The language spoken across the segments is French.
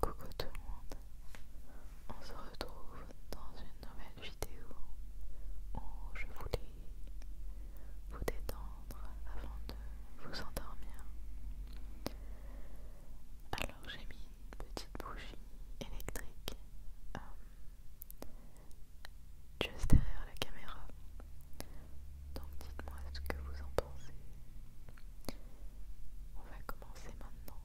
Coucou tout le monde, on se retrouve dans une nouvelle vidéo où je voulais vous détendre avant de vous endormir. Alors j'ai mis une petite bougie électrique euh, juste derrière la caméra donc dites-moi ce que vous en pensez. On va commencer maintenant.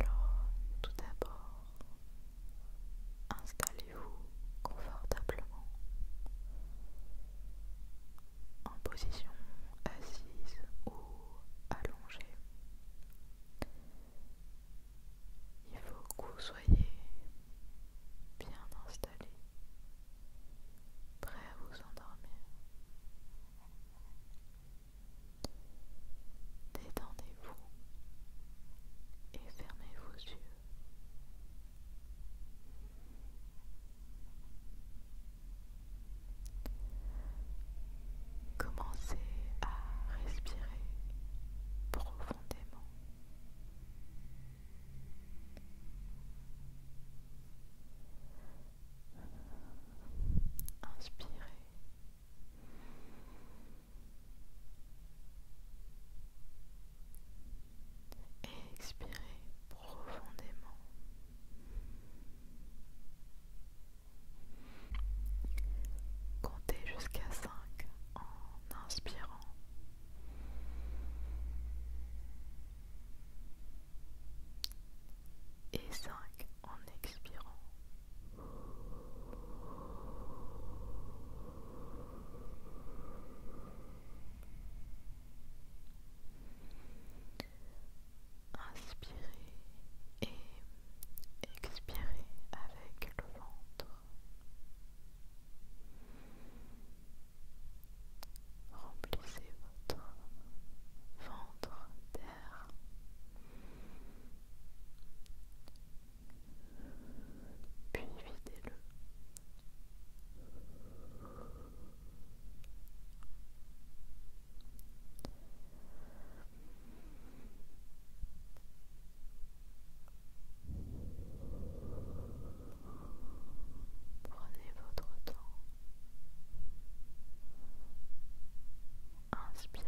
Alors, tout d'abord, installez-vous confortablement en position assise ou allongée. Il faut que vous soyez bien installé, prêt à vous endormir. Détendez-vous et fermez vos yeux. Commencez à respirer profondément. Inspirez. expirez profondément. Comptez jusqu'à 5 en inspirant. Et 5 en expirant. Inspirez et expirez avec le ventre. Remplissez votre ventre d'air. Puis videz-le. Prenez votre temps. Inspirez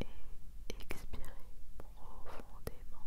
et expirez profondément.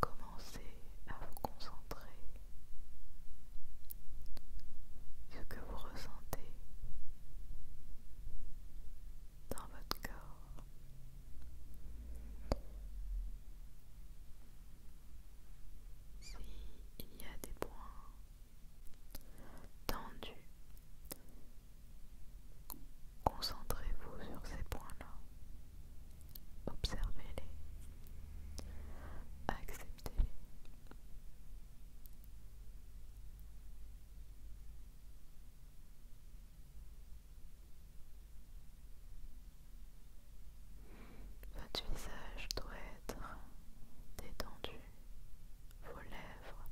Commencez à vous concentrer ce que vous ressentez dans votre corps. S'il y a des points tendus, concentrez-vous sur ces points-là. Observez-les. Acceptez-les. Votre visage doit être détendu, vos lèvres,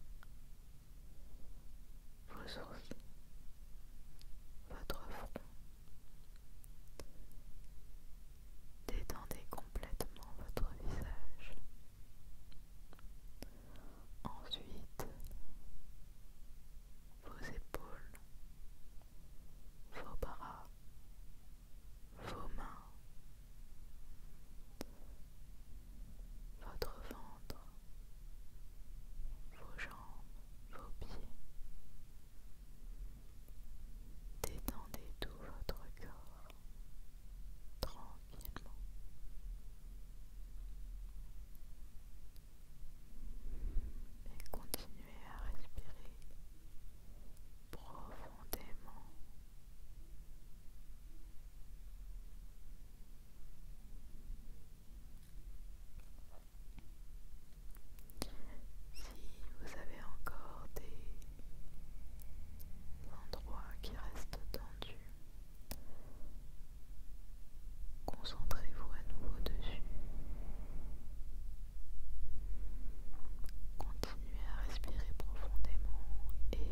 vos sourcils, votre front. Détendez complètement votre visage. Ensuite, vos épaules, vos bras, vos mains, votre ventre, vos jambes vos pieds. Détendez tout votre corps tranquillement. Et continuez à respirer profondément. Si vous avez encore des endroits qui restent tendus, concentrez-vous à nouveau dessus. Continuez à respirer profondément et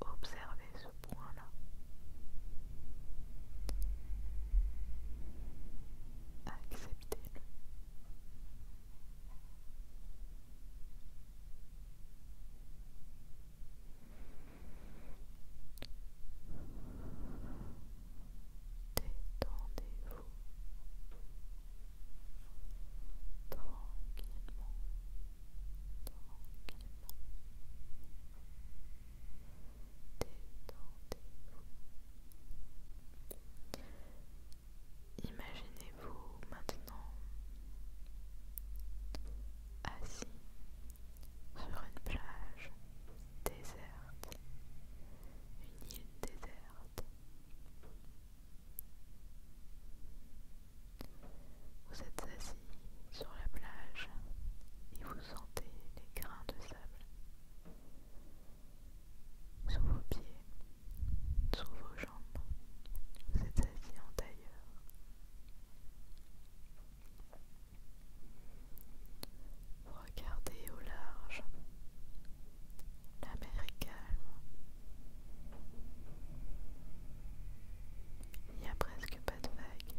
observez ce point-là. Acceptez-le. Détendez-vous tranquillement. Imaginez-vous maintenant assis sur une plage déserte, une île déserte. Vous êtes assis sur la plage et vous sentez les grains de sable sous vos pieds, sous vos jambes. Vous êtes assis en tailleur. Vous regardez au large. La mer est calme. Il n'y a presque pas de vagues.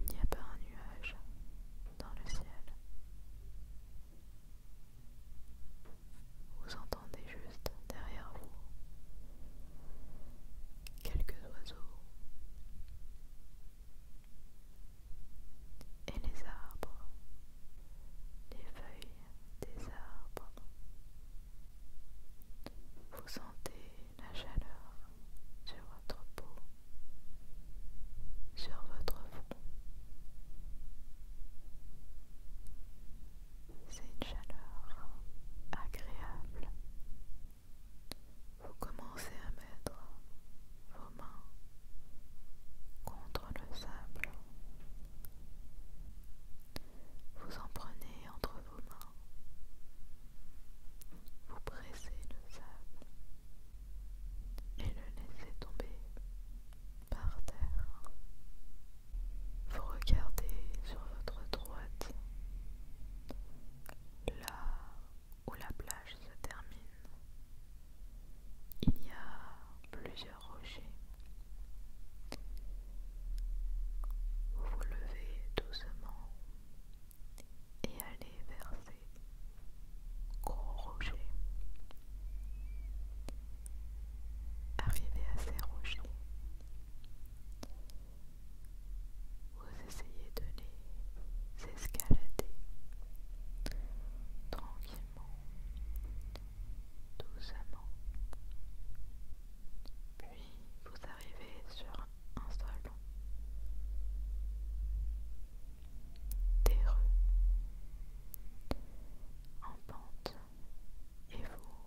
Il n'y a pas un nuage dans le ciel. Vous entendez juste derrière vous quelques oiseaux et les arbres, les feuilles des arbres vous sentez la chaleur sur votre peau, sur votre front. C'est une chaleur agréable. Vous commencez à mettre vos mains contre le sable vous en prenez entre vos mains. Vous pressez le sable et le laissez tomber par terre. Vous regardez sur votre droite là où la plage se termine. Il y a plusieurs vous vous levez doucement et allez vers ces gros rochers. Arrivez à ces rochers, vous essayez de les escalader tranquillement doucement. Puis vous arrivez sur un sol terreux en pente et vous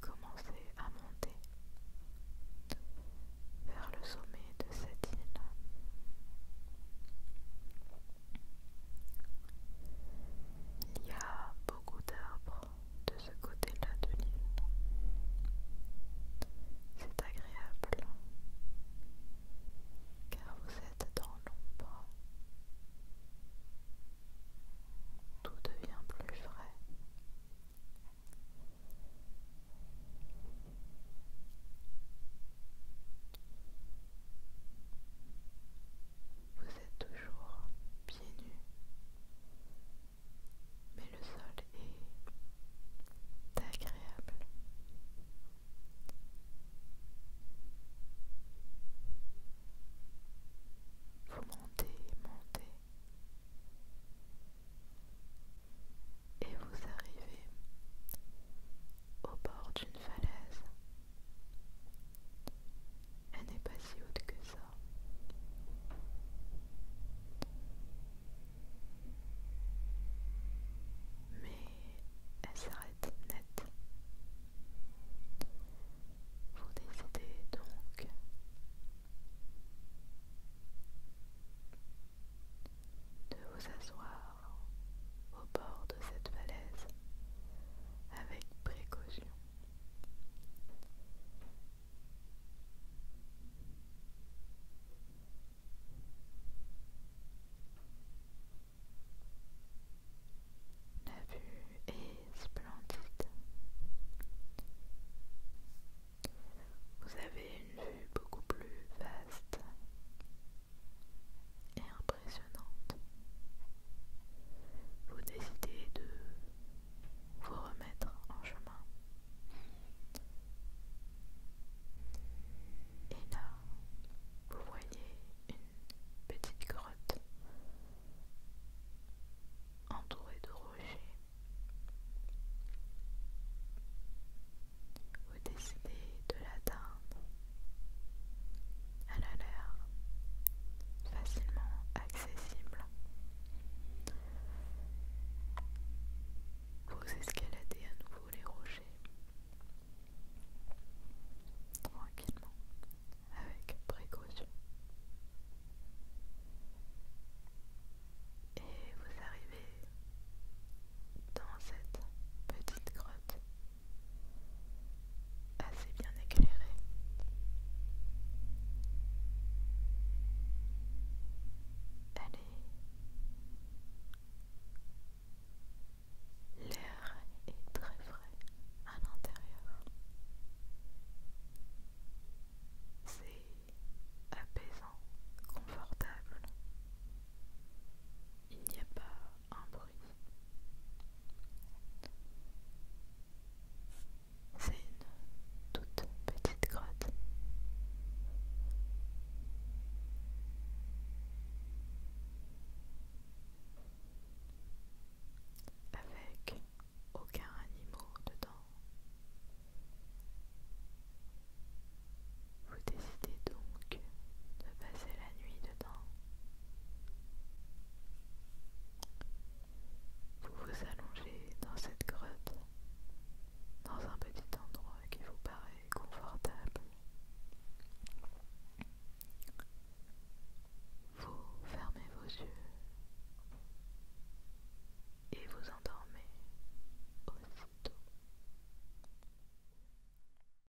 commencez à monter vers le sommet de cette île. Il y a beaucoup d'arbres de ce côté-là de l'île. C'est agréable car vous êtes dans l'ombre. Tout devient plus frais vous êtes toujours pieds nus, mais le sol est agréable. Vous montez, montez, et vous arrivez au bord d'une falaise. Elle n'est pas si haute que ça. Mais elle s'arrête net. Vous décidez donc de vous asseoir au bord de cette falaise, avec précaution. La vue est splendide. Vous avez une vue beaucoup plus vaste et vous décidez de vous remettre en chemin. Et là, vous voyez une petite grotte entourée de rochers. Vous décidez de l'atteindre elle a l'air facilement accessible. Vous escaladez à nouveau les rochers tranquillement, avec précaution. Et vous arrivez dans cette petite grotte assez bien éclairé. l'air est très frais à l'intérieur. C'est apaisant, confortable. Il n'y a pas un bruit. C'est une toute petite grotte. Avec aucun animal dedans. Vous décidez donc de passer la nuit dedans. Vous vous allongez dans cette grotte, dans un petit endroit qui vous paraît confortable. Vous fermez vos yeux et vous endormez aussitôt.